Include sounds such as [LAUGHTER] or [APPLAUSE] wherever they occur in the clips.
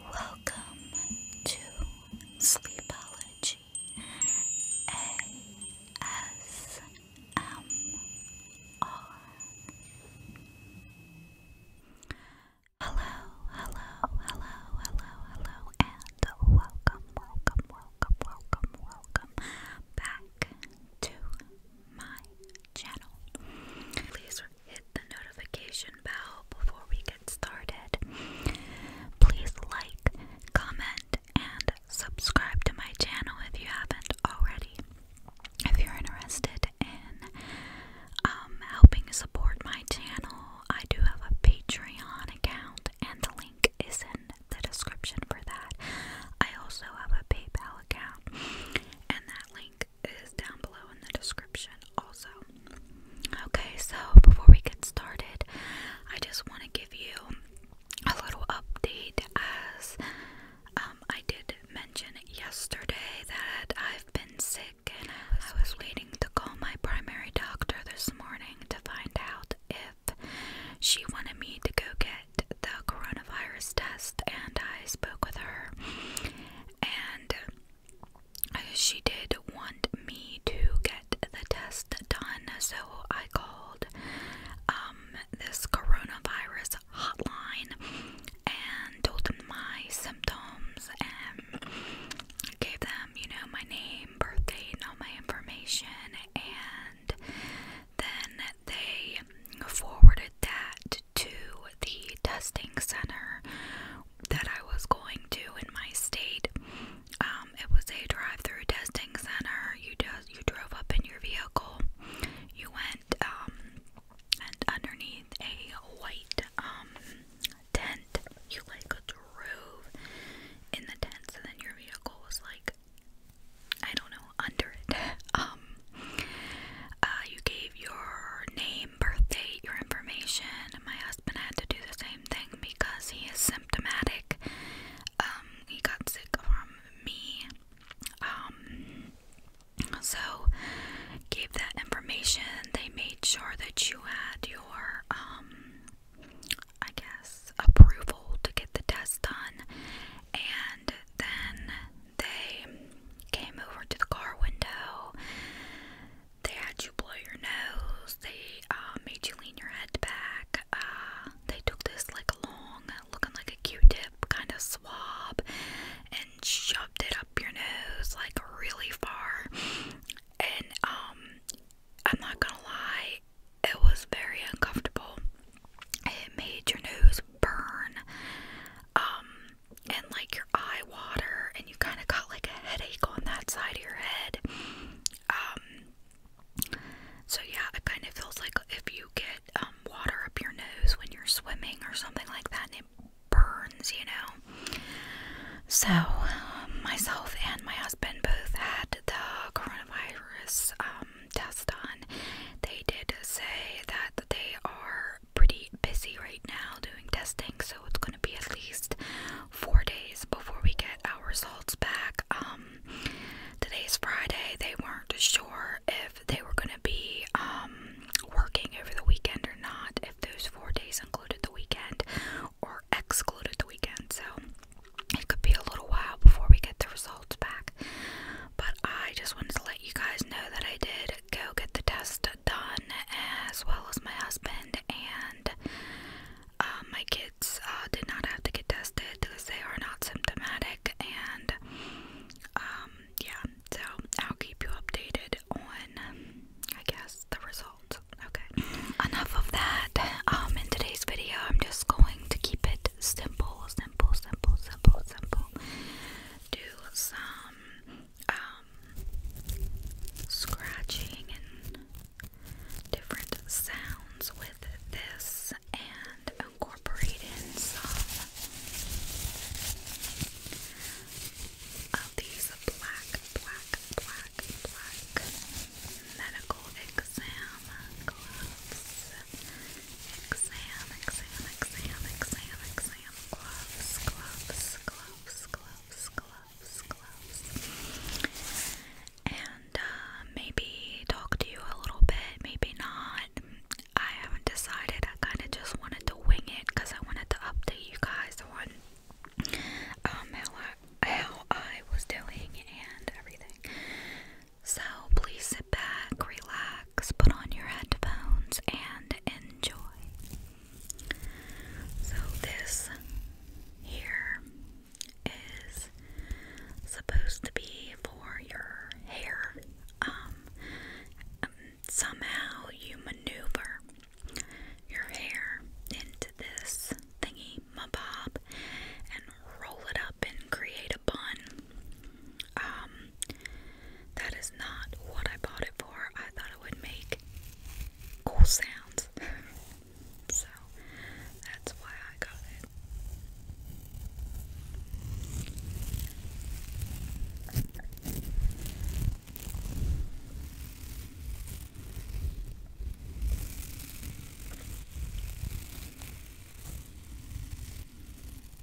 Welcome to Sleepology ASMR. Hello, hello, hello, hello, hello, and welcome, welcome, welcome, welcome, welcome back to my channel. Please hit the notification bell before we get started. Please like, comment, and subscribe to my channel if you haven't already. If you're interested in um, helping support my channel, I do have a Patreon account, and the link is in the description for that. I also have a PayPal account, and that link is down below in the description also. Okay, so before we get started, I just want to give you a little update as um, I did mention yesterday that I've been sick and I was waiting to call my primary doctor this morning to find out if she wanted me to go get the coronavirus test and I spoke with her and she did want me to get the test done, so I called um, this coronavirus hotline and told them my symptoms and gave them, you know, my name, birthday, and all my information, and then they forwarded that to the testing center that I was going to in my state. Um, it was a drive-through testing center. You just you drove up in your vehicle. You went um, and underneath a white um, tent. You like drove in the tent, and then your vehicle was like I don't know under it. [LAUGHS] Um, um, uh, you gave your name, birth date, your information. My husband had to do the same thing because he is symptomatic. Um, he got sick from me. Um, so gave that information. They made sure that you had your, um, I guess, approval to get the test done, and then they came over to the car window. They had you blow your nose. They uh, made you lean your head back. Uh, they took this like long, looking like a Q-tip kind of swab and shoved it up your nose like really far. And um, I'm not gonna lie, it was very uncomfortable. It made your nose burn. Um, and like your eye water, and you kind of got like a headache on that side of your head. Um, so yeah, it kind of feels like if you get um, water up your nose when you're swimming or something like that, and it burns, you know. So, um, myself and my husband both had the coronavirus um, test done. They did say that they are pretty busy right now doing testing, so it's going to be at least four days before we get our results back. Um, today's Friday. They weren't sure if they were going to be um, working over the weekend or not, if those four days included the weekend or excluded the weekend. So it could be a little while before we get the results back. But I just wanted to let you guys know that I did go get the test done, as well as my husband and uh, my kids uh, did not have to get tested because they are not symptomatic. And um, yeah, so I'll keep you updated on, I guess, the result. Okay, enough of that. Um, in today's video, I'm just going to keep it simple, simple, simple, simple, simple do some um, scratching and different sounds with this and incorporating some of these black, black, black, black medical exam gloves Exam, exam, exam, exam, exam. Gloves, gloves, gloves, gloves, gloves, gloves. And uh, maybe talk to you a little bit, maybe not. I haven't decided. I kind of just wanted to wing it because I wanted to update you guys on um, how I was doing and everything. So please sit back, relax, put on your headphones, and enjoy. So, this here is supposed to be for your hair. Um, somehow you maneuver your hair into this thingy, my and roll it up and create the Um, that is not what I bought it for. I thought it would make cool sounds. [LAUGHS] so that's why I got it.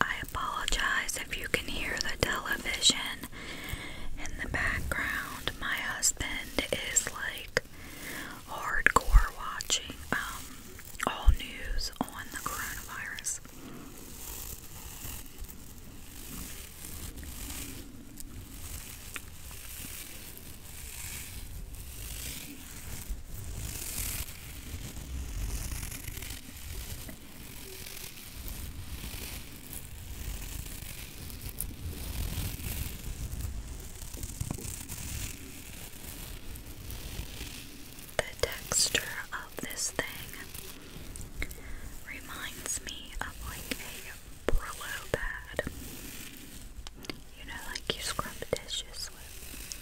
I apologize if you can hear the television in the background. My husband is like hardcore watching um, all news on the coronavirus. The texture of this thing reminds me of like a Brillo pad. You know, like you scrub dishes with.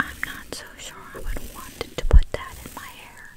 I'm not so sure I would want to put that in my hair.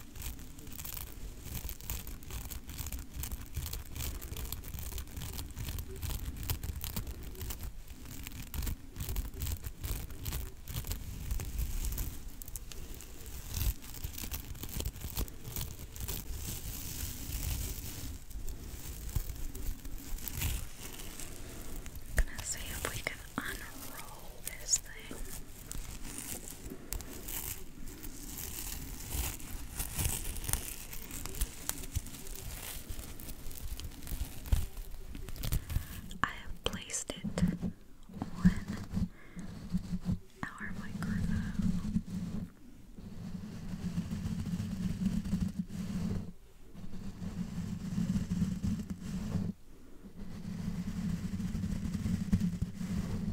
I'm gonna see if we can unroll this thing. I have placed it on our microphone.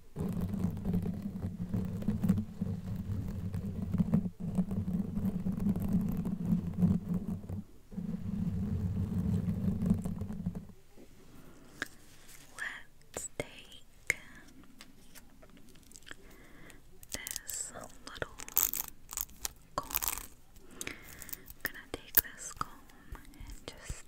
Let's take this little comb. I'm gonna take this comb and just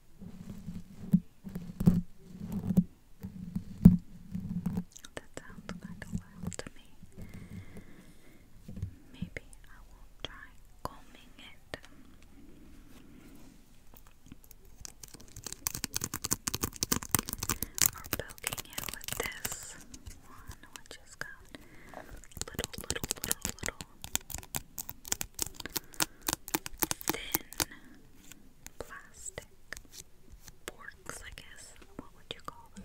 That sounds kind of loud to me. Maybe I will try calming it. Or poking it with this one, which has got little, little, little, little thin plastic forks, I guess. What would you call them?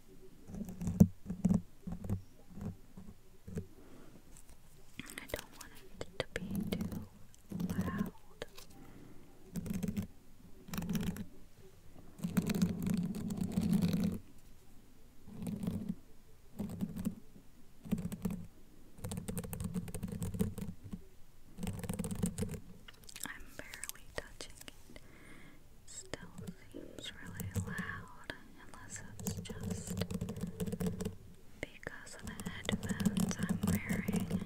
I don't want it to be too loud. I'm barely touching it still seems really loud unless it's just because of the headphones I'm wearing.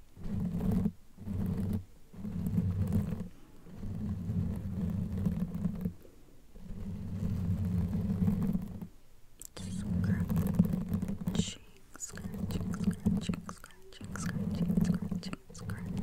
Just scratching, scratching, scratching, scratching, scratching, scratching, scratching. Scratching,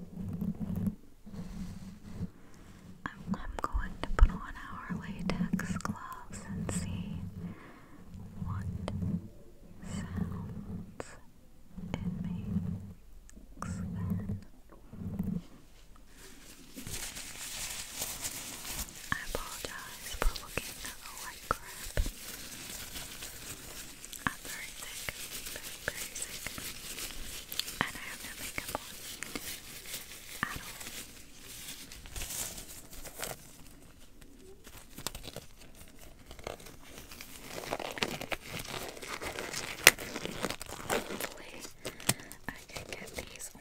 I'm, going to put on our latex gloves and see what sounds it makes then. I apologize for looking at the light grip. I'm very sick, very, sick, and I have no makeup on at all. Hopefully, I can get these on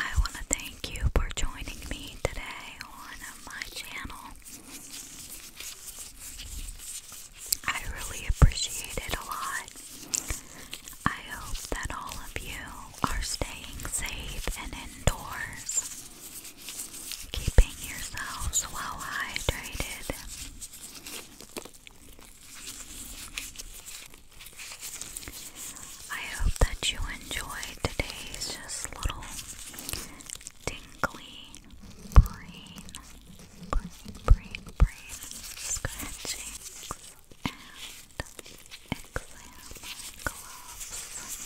I want to thank you for joining me today on my channel. I really appreciate it a lot. I hope that all of you are staying safe and indoors, keeping yourselves well hydrated. I hope that you enjoyed today's just little tingly brain brain, brain, brain scratchings and exam gloves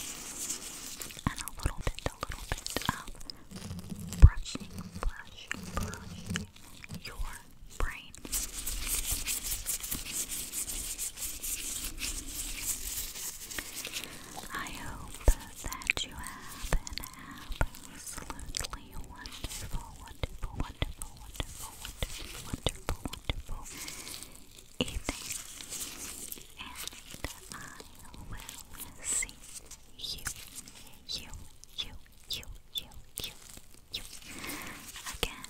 and a little bit, a little bit of brushing, brush, brush your brain. I hope that you have absolutely wonderful, wonderful, wonderful, wonderful, wonderful, wonderful, wonderful evening. And I will see you, you, you, you, you, you, you again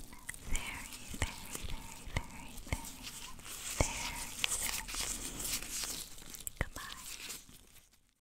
very, very, very, very, very, very soon. Goodbye.